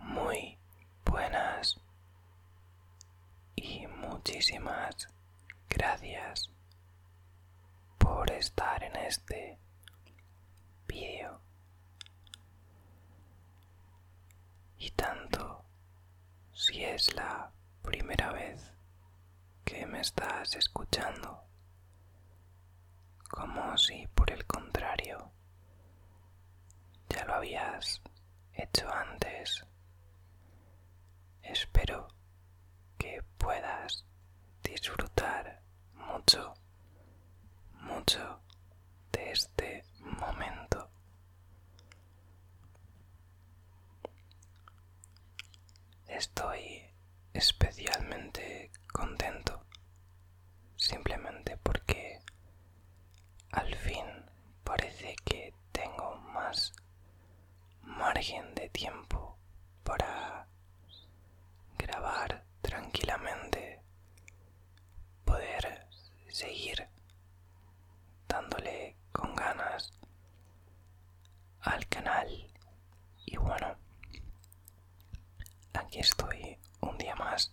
muy buenas y muchísimas gracias por estar en este vídeo y tanto si es la primera vez que me estás escuchando como si por el contrario ya lo habías hecho antes. Espero que puedas disfrutar mucho, mucho de este momento. Estoy especialmente contento simplemente porque al fin parece que tengo más margen de tiempo para grabar tranquilamente, poder seguir dándole con ganas al canal y bueno, aquí estoy un día más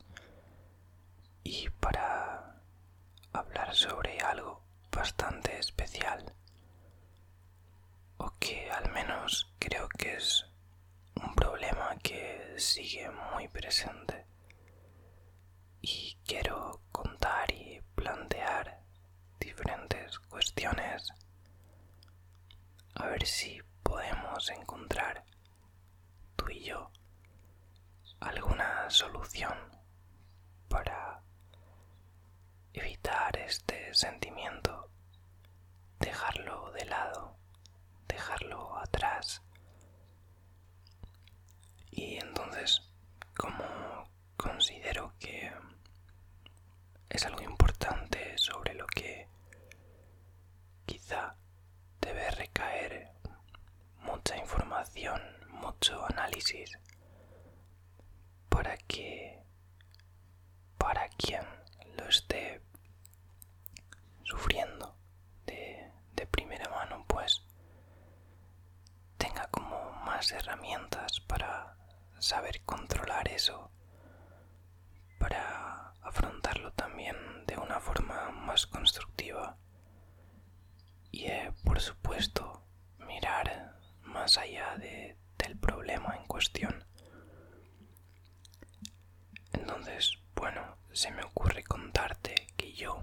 y para hablar sobre algo bastante especial o que al menos creo que es un problema que sigue muy presente y quiero contar y plantear diferentes cuestiones a ver si podemos encontrar tú y yo alguna solución para evitar este sentimiento, dejarlo de lado, dejarlo atrás. Y entonces, como considero que es algo importante sobre lo que quizá debe recaer mucha información, mucho análisis para que para quien lo esté sufriendo de, primera mano pues tenga como más herramientas para saber controlar eso para afrontarlo también de una forma más constructiva y eh, por supuesto mirar más allá del problema en cuestión. Entonces, bueno, se me ocurre contarte que yo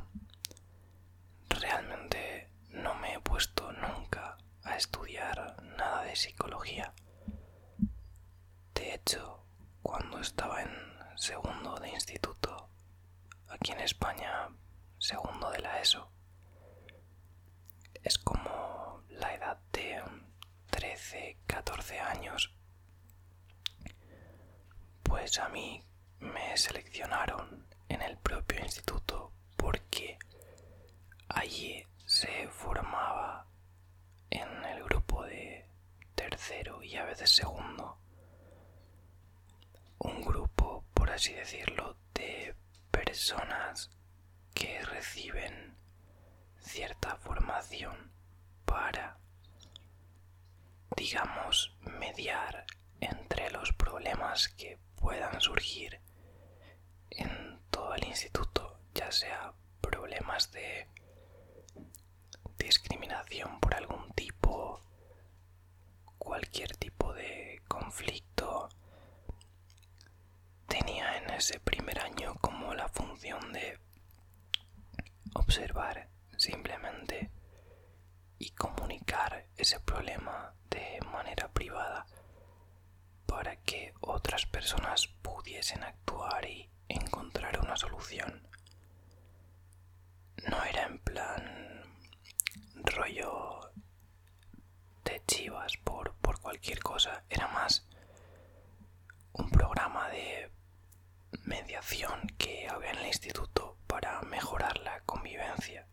realmente no me he puesto nunca a estudiar nada de psicología. De hecho, cuando estaba en segundo de instituto, aquí en España, segundo de la ESO. Es como la edad de 13, 14 años. Pues a mí me seleccionaron en el propio instituto porque allí se formaba en el grupo de tercero y a veces segundo, un grupo, por así decirlo, de personas que reciben cierta formación para, digamos, mediar entre los problemas que puedan surgir en todo el instituto, ya sea problemas de discriminación por algún tipo, cualquier tipo de conflicto, tenía en ese primer año como la función de observar simplemente y comunicar ese problema de manera privada para que otras personas pudiesen actuar y encontrar una solución. No era en plan rollo de chivas por, por cualquier cosa, era más un programa de mediación que había en el instituto para mejorar la convivencia.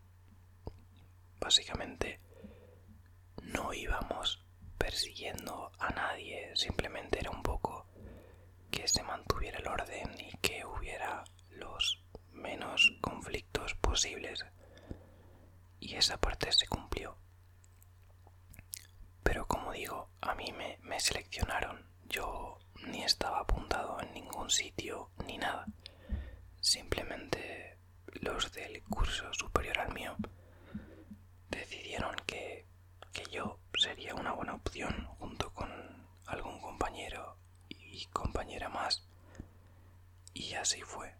Básicamente no íbamos persiguiendo a nadie, simplemente era un poco que se mantuviera el orden y que hubiera los menos conflictos posibles. Y esa parte se cumplió. Pero como digo, a mí me, seleccionaron. Yo ni estaba apuntado en ningún sitio ni nada. Simplemente los del curso superior al mío decidieron que que yo sería una buena opción junto con algún compañero y compañera más. Y así fue.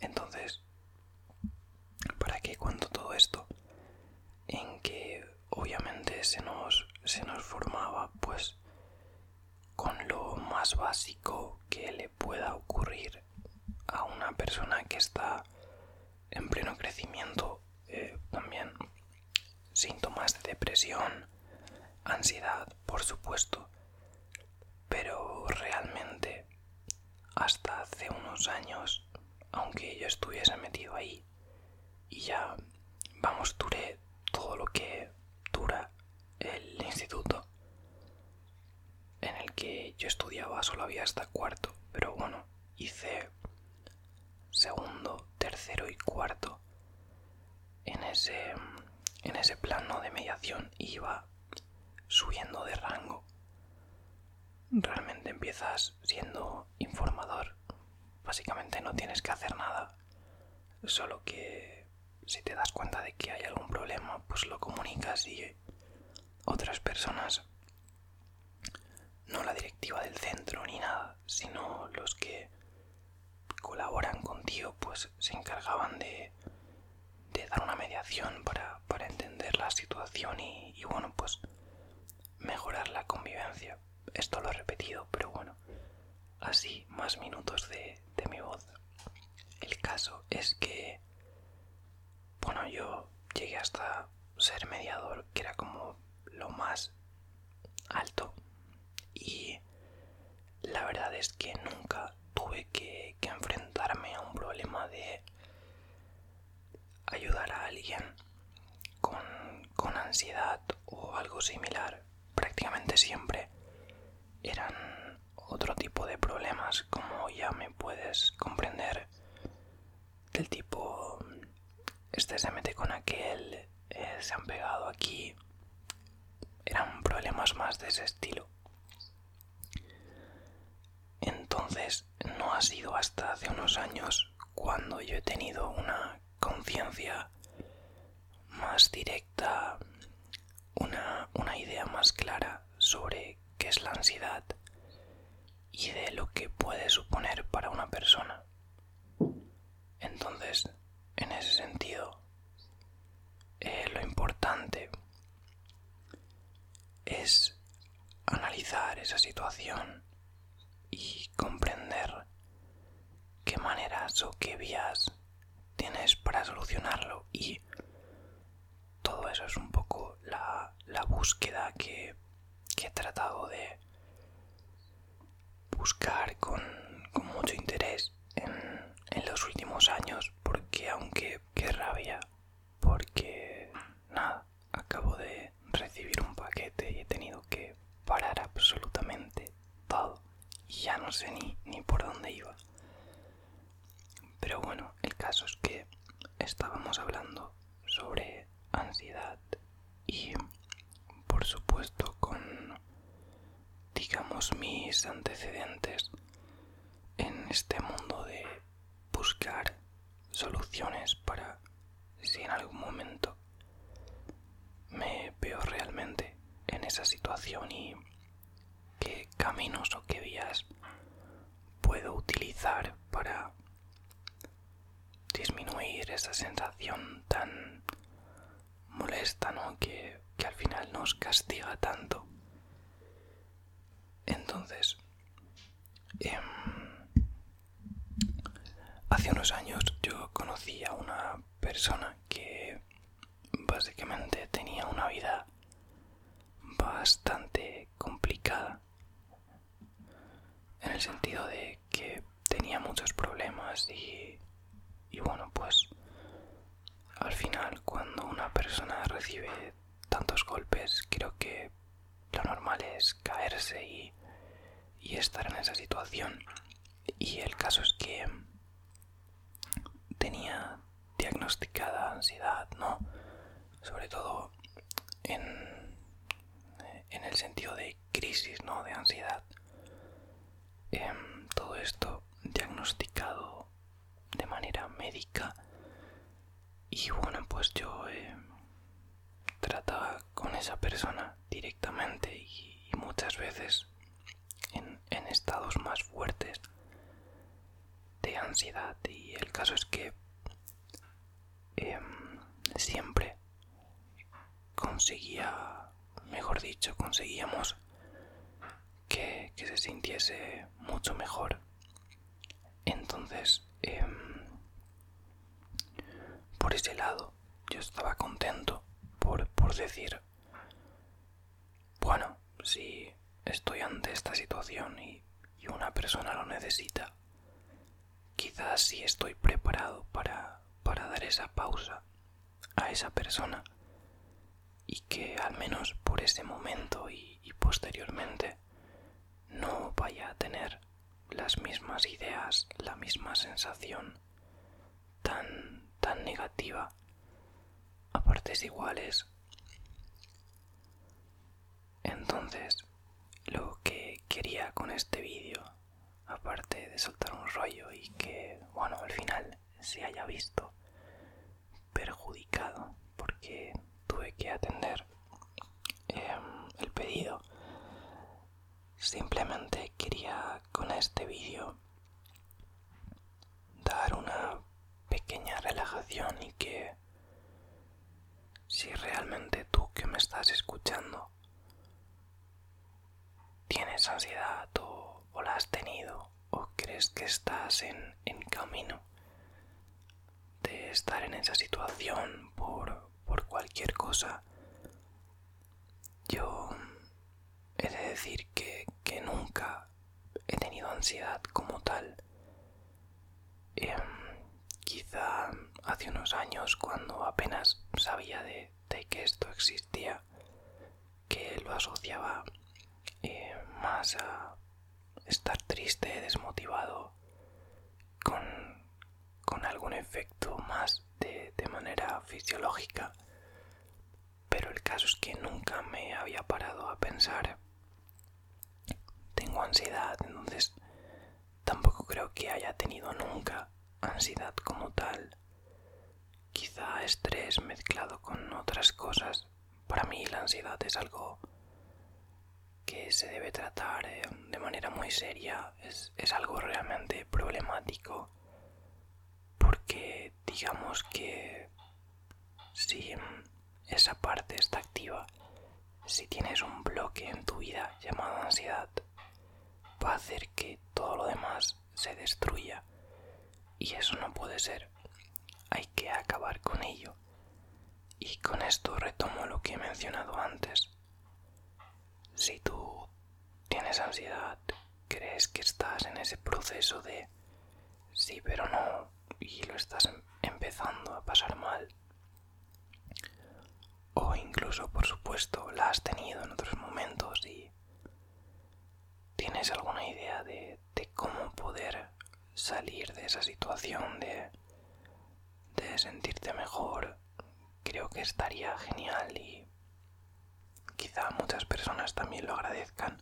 Entonces, ¿para qué cuento todo esto? En que obviamente se nos, se nos formaba pues con lo más básico que le pueda ocurrir a una persona que está en pleno crecimiento eh, también síntomas de depresión, ansiedad, por supuesto, pero realmente hasta hace unos años, aunque yo estuviese metido ahí y ya, vamos, duré todo lo que dura el instituto en el que yo estudiaba, solo había hasta cuarto, pero bueno, hice segundo, tercero y cuarto en ese, plano de mediación iba subiendo de rango. Realmente empiezas siendo informador. Básicamente no tienes que hacer nada. Solo que si te das cuenta de que hay algún problema, pues lo comunicas y otras personas no la directiva del centro ni nada, sino los que colaboran contigo, pues se encargaban de, dar una mediación para, entender la situación y, bueno, pues mejorar la convivencia. Esto lo he repetido, pero bueno, así más minutos de mi voz. El caso es que, bueno, yo llegué hasta ser mediador, que era como lo más alto y la verdad es que nunca tuve que, enfrentarme a un problema de ayudar a alguien con ansiedad o algo similar prácticamente siempre eran otro tipo de problemas como ya me puedes comprender del tipo, este se mete con aquel, eh, se han pegado aquí, eran problemas más de ese estilo. Entonces no ha sido hasta hace unos años cuando yo he tenido una conciencia más directa, una, idea más clara sobre qué es la ansiedad y de lo que puede suponer para una persona. Entonces, en ese sentido, eh, lo importante es analizar esa situación y comprender qué maneras o qué vías tienes para solucionarlo y todo eso es un poco la, búsqueda que he tratado de, buscar con, mucho interés en, los últimos años porque aunque qué rabia porque nada acabo de recibir un paquete y he tenido que parar absolutamente todo y ya no sé ni, ni por dónde iba pero bueno el caso es que estábamos hablando sobre ansiedad y por supuesto con digamos mis antecedentes en este mundo de buscar soluciones para si en algún momento me veo realmente en esa situación y qué caminos o qué vías puedo utilizar para disminuir esa sensación tan molesta, ¿no? Que, al final nos castiga tanto. Entonces, em, hace unos años yo conocí a una persona que básicamente tenía una vida bastante complicada en el sentido de que tenía muchos problemas y, bueno, pues al final cuando una persona recibe tantos golpes, creo que lo normal es caerse y, estar en esa situación. Y el caso es que tenía diagnosticada ansiedad, ¿no? Sobre todo en, en el sentido de crisis, ¿no? De ansiedad. Em, todo esto diagnosticado de manera médica. Y bueno, pues yo eh, trataba con esa persona directamente y, muchas veces en, estados más fuertes de ansiedad. Y el caso es que em, siempre conseguía, mejor dicho, conseguíamos que, se sintiese mucho mejor. Entonces, em, por ese lado, yo estaba contento por, decir, bueno, si estoy ante esta situación y, y una persona lo necesita, quizás sí estoy preparado para para dar esa pausa a esa persona y que al menos por ese momento y, posteriormente no vaya a tener las mismas ideas, la misma sensación tan, tan negativa a partes iguales. Entonces, lo que quería con este vídeo aparte de soltar un rollo y que, bueno, al final se haya visto perjudicado porque tuve que atender em, el pedido. Simplemente quería con este vídeo dar una pequeña relajación y que si realmente tú que me estás escuchando tienes ansiedad o, la has tenido o crees que estás en, camino de estar en esa situación por, por cualquier cosa, yo he de decir que, nunca he tenido ansiedad como tal. Em, quizá hace unos años cuando apenas sabía de, de, que esto existía, que lo asociaba eh, más a estar triste, desmotivado, con, algún efecto más de manera fisiológica. Pero el caso es que nunca me había parado a pensar, tengo ansiedad, entonces Tampoco creo que haya tenido nunca ansiedad como tal. Quizá estrés mezclado con otras cosas. Para mí la ansiedad es algo que se debe tratar eh, de manera muy seria. Es, es algo realmente problemático. Porque digamos que si esa parte está activa, si tienes un bloque en tu vida llamado ansiedad, va a hacer que todo lo demás se destruya. Y eso no puede ser. Hay que acabar con ello. Y con esto retomo lo que he mencionado antes. Si tú tienes ansiedad, crees que estás en ese proceso de sí pero no y lo estás empezando a pasar mal, o incluso por supuesto la has tenido en otros momentos y tienes alguna idea de, cómo poder salir de esa situación, de sentirte mejor, creo que estaría genial y quizá muchas personas también lo agradezcan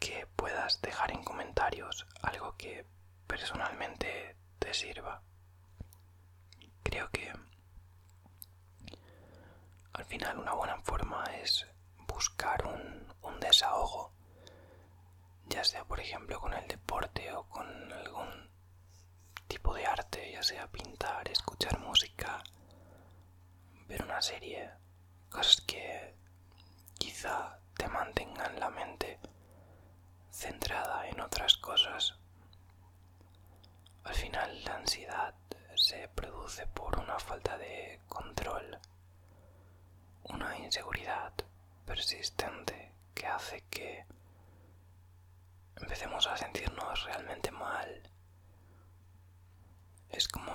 que puedas dejar en comentarios algo que personalmente te sirva. Creo que al final una buena forma es buscar un, desahogo, ya sea por ejemplo con el deporte o con algún tipo de arte, ya sea pintar, escuchar música, ver una serie, cosas que quizá te mantengan la mente centrada en otras cosas al final la ansiedad se produce por una falta de control, una inseguridad persistente que hace que empecemos a sentirnos realmente mal. Es como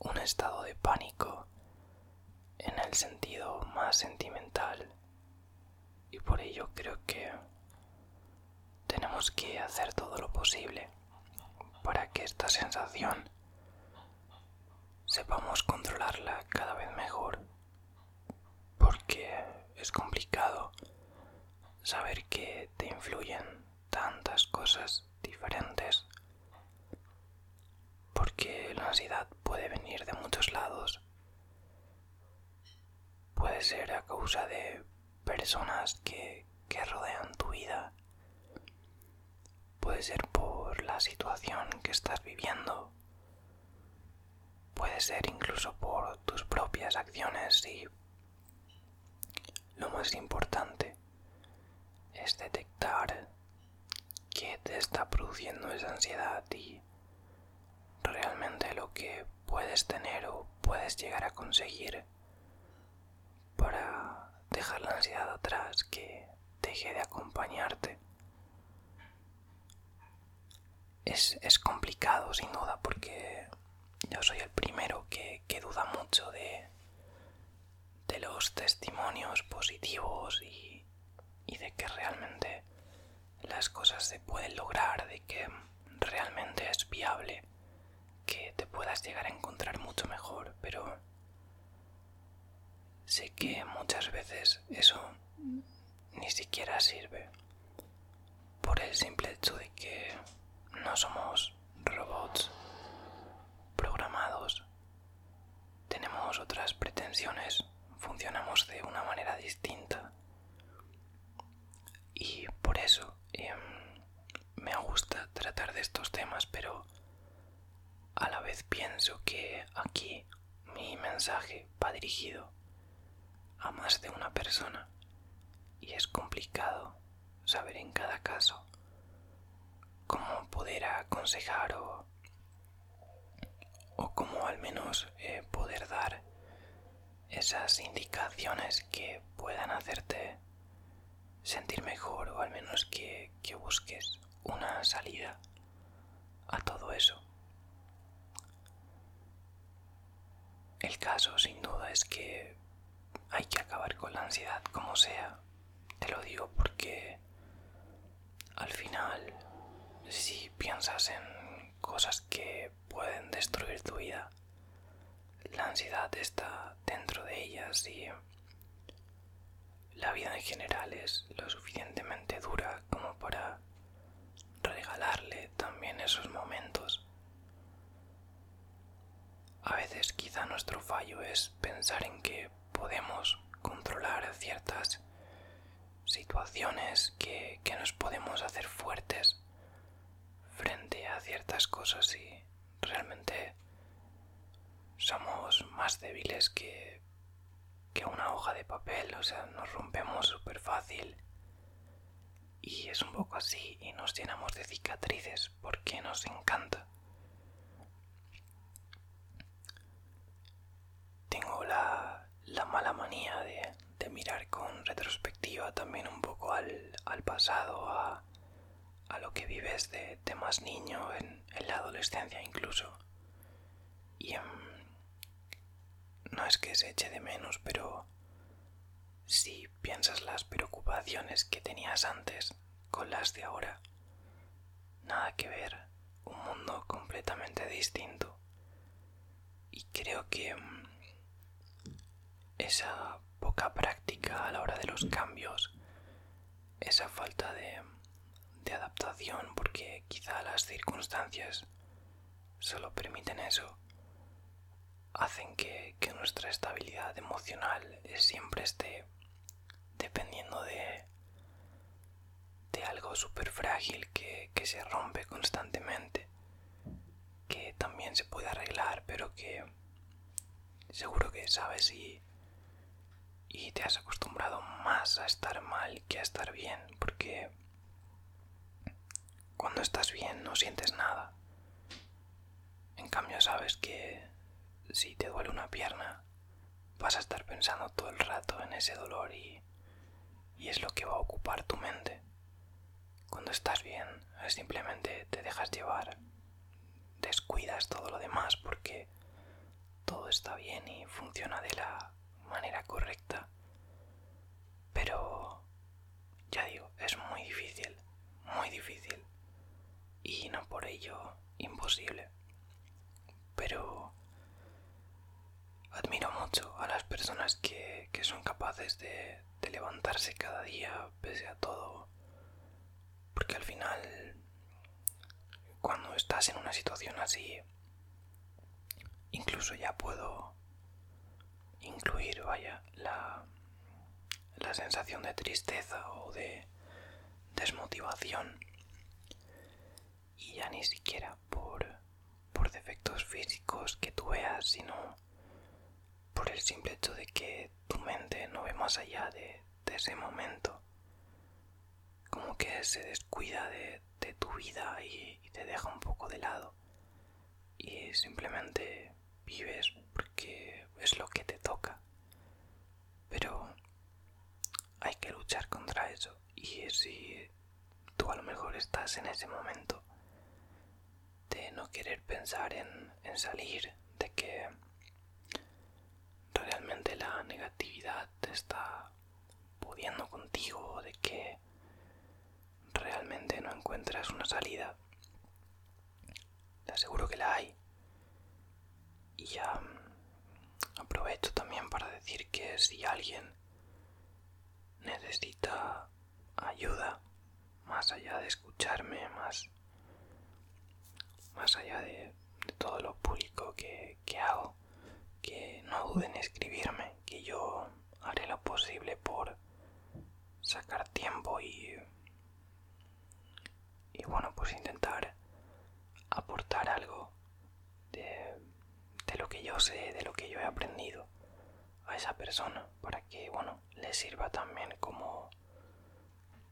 un estado de pánico en el sentido más sentimental y por ello creo que tenemos que hacer todo lo posible para que esta sensación sepamos controlarla cada vez mejor porque es complicado saber que te influyen tantas cosas diferentes porque la ansiedad puede venir de muchos lados Puede ser a causa de personas que, rodean tu vida. Puede ser por la situación que estás viviendo. Puede ser incluso por tus propias acciones y lo más importante es detectar qué te está produciendo esa ansiedad ti realmente lo que puedes tener o puedes llegar a conseguir para dejar la ansiedad atrás que deje de acompañarte. Es, complicado sin duda porque yo soy el primero que, duda mucho de, los testimonios positivos y de que realmente las cosas se pueden lograr, de que realmente es viable que te puedas llegar a encontrar mucho mejor, pero sé que muchas veces eso ni siquiera sirve por el simple hecho de que no somos robots programados, tenemos otras pretensiones, funcionamos de una manera distinta y por eso em, me gusta tratar de estos temas, pero a la vez pienso que aquí mi mensaje va dirigido a más de una persona y es complicado saber en cada caso cómo poder aconsejar o, o cómo al menos eh, poder dar esas indicaciones que puedan hacerte sentir mejor o al menos que, busques una salida a todo eso. El caso sin duda es que hay que acabar con la ansiedad como sea. Te lo digo porque al final, si piensas en cosas que pueden destruir tu vida. La ansiedad está dentro de ellas y la vida en general es lo suficientemente dura como para regalarle también esos momentos. A veces quizá nuestro fallo es pensar en que podemos controlar ciertas situaciones que, nos podemos hacer fuertes frente a ciertas cosas y realmente somos más débiles que, que una hoja de papel, o sea, nos rompemos súper fácil. Y es un poco así y nos llenamos de cicatrices porque nos encanta. Tengo la la mala manía de, mirar con retrospectiva también un poco al, pasado, a, lo que vives de, más niño, en, la adolescencia incluso. Y em, no es que se eche de menos, pero si piensas las preocupaciones que tenías antes con las de ahora, nada que ver, un mundo completamente distinto y creo que mm, esa poca práctica a la hora de los cambios, esa falta de, adaptación, porque quizá las circunstancias solo permiten eso, hacen que, nuestra estabilidad emocional siempre esté dependiendo de, algo súper frágil que se rompe constantemente que también se puede arreglar, pero que seguro que sabes y, y te has acostumbrado más a estar mal que a estar bien, porque cuando estás bien no sientes nada. En cambio sabes que si te duele una pierna, vas a estar pensando todo el rato en ese dolor y y es lo que va a ocupar tu mente. Cuando estás bien, simplemente te dejas llevar, descuidas todo lo demás porque todo está bien y funciona de la manera correcta. Pero, ya digo, es muy difícil, muy difícil. Y no por ello imposible. Pero Admiro mucho a las personas que, son capaces de, levantarse cada día pese a todo. Porque al final, cuando estás en una situación así, incluso ya puedo incluir, vaya, la sensación de tristeza o de desmotivación. Y ya ni siquiera por, por defectos físicos que tú veas, sino por el simple hecho de que tu mente no ve más allá de, ese momento. Como que se descuida de, tu vida y, te deja un poco de lado. Y simplemente vives porque es lo que te toca. Pero hay que luchar contra eso. Y si tú a lo mejor estás en ese momento de no querer pensar en, salir, de que realmente la negatividad te está pudiendo contigo, de que realmente no encuentras una salida. Te aseguro que la hay. Y ya mm, aprovecho también para decir que si alguien necesita ayuda, más allá de escucharme, más, más allá de, todo lo público que, hago, que no duden en escribirme, que yo haré lo posible por sacar tiempo y, y bueno, pues intentar aportar algo de lo que yo sé, de lo que yo he aprendido a esa persona para que bueno le sirva también como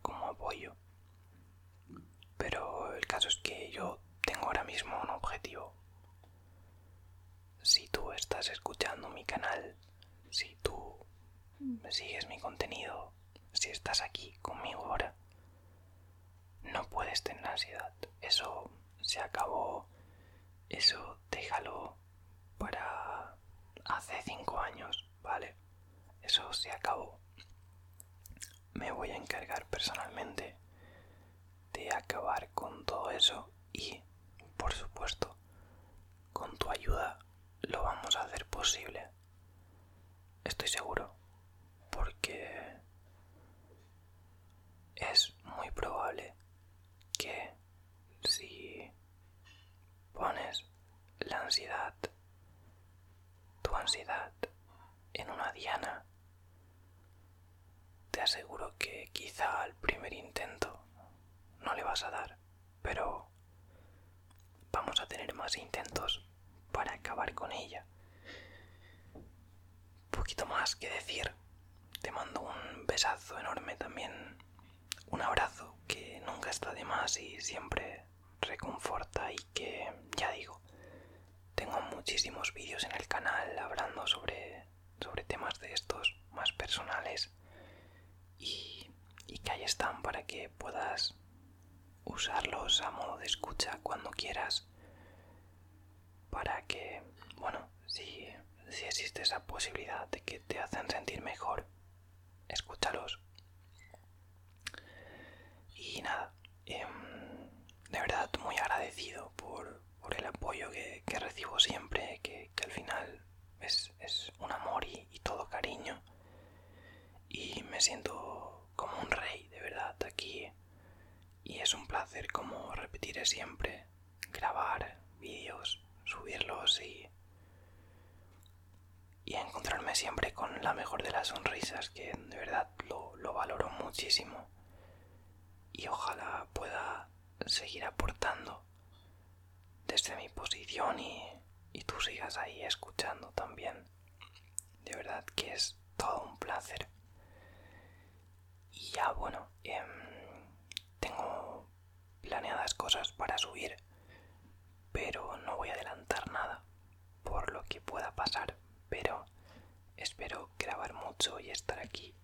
como apoyo pero el caso es que yo tengo ahora mismo un objetivo si tú estás escuchando mi canal si tú sigues mi contenido si estás aquí conmigo ahora no puedes tener ansiedad eso se acabó eso déjalo para hace 5 años, ¿vale? Eso se acabó. Me voy a encargar personalmente de acabar con todo eso y, por supuesto, con tu ayuda lo vamos a hacer posible. Estoy seguro, porque es muy probable que si pones la ansiedad, tu ansiedad en una diana, te aseguro que quizá al primer intento no le vas a dar, pero vamos a tener más intentos para acabar con ella poquito más que decir. Te mando un besazo enorme también. Un abrazo que nunca está de más y siempre reconforta y que, ya digo, tengo muchísimos vídeos en el canal hablando sobre, temas de estos más personales y, y que ahí están para que puedas usarlos a modo de escucha cuando quieras para que, bueno, si, si existe esa posibilidad de que te hacen sentir mejor, escúchalos. Y nada, em, de verdad muy agradecido por, por el apoyo que, recibo siempre, que, al final es, un amor y todo cariño. Y me siento como un rey, de verdad, aquí. Y es un placer, como repetiré siempre, grabar vídeos, subirlos y, y encontrarme siempre con la mejor de las sonrisas, que de verdad lo, valoro muchísimo. Y ojalá pueda seguir aportando desde mi posición y tú sigas ahí escuchando también. De verdad que es todo un placer. Y ya, bueno, em, tengo planeadas cosas para subir, pero no voy a adelantar nada por lo que pueda pasar, pero espero grabar mucho y estar aquí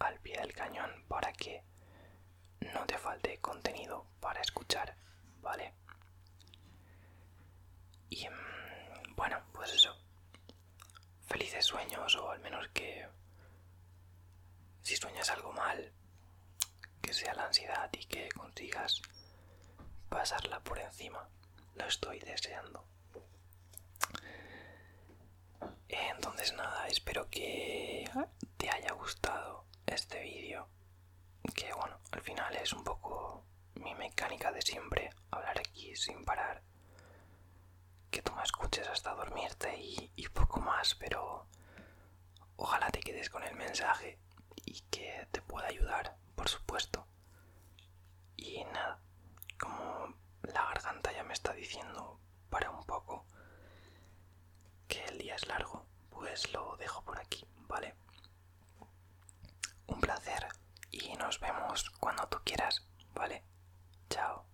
al pie del cañón para que no te falte contenido para escuchar, ¿vale? Y em, bueno, pues eso felices sueños o al menos que si sueñas algo mal, que sea la ansiedad y que consigas pasarla por encima. Lo estoy deseando. Entonces nada, espero que te haya gustado este vídeo. Que bueno, al final es un poco mi mecánica de siempre, hablar aquí sin parar que tú me escuches hasta dormirte y, poco más, pero ojalá te quedes con el mensaje y que te pueda ayudar, por supuesto. Y nada, como la garganta ya me está diciendo para un poco que el día es largo, pues lo dejo por aquí, ¿vale? Un placer y nos vemos cuando tú quieras, ¿vale? Chao.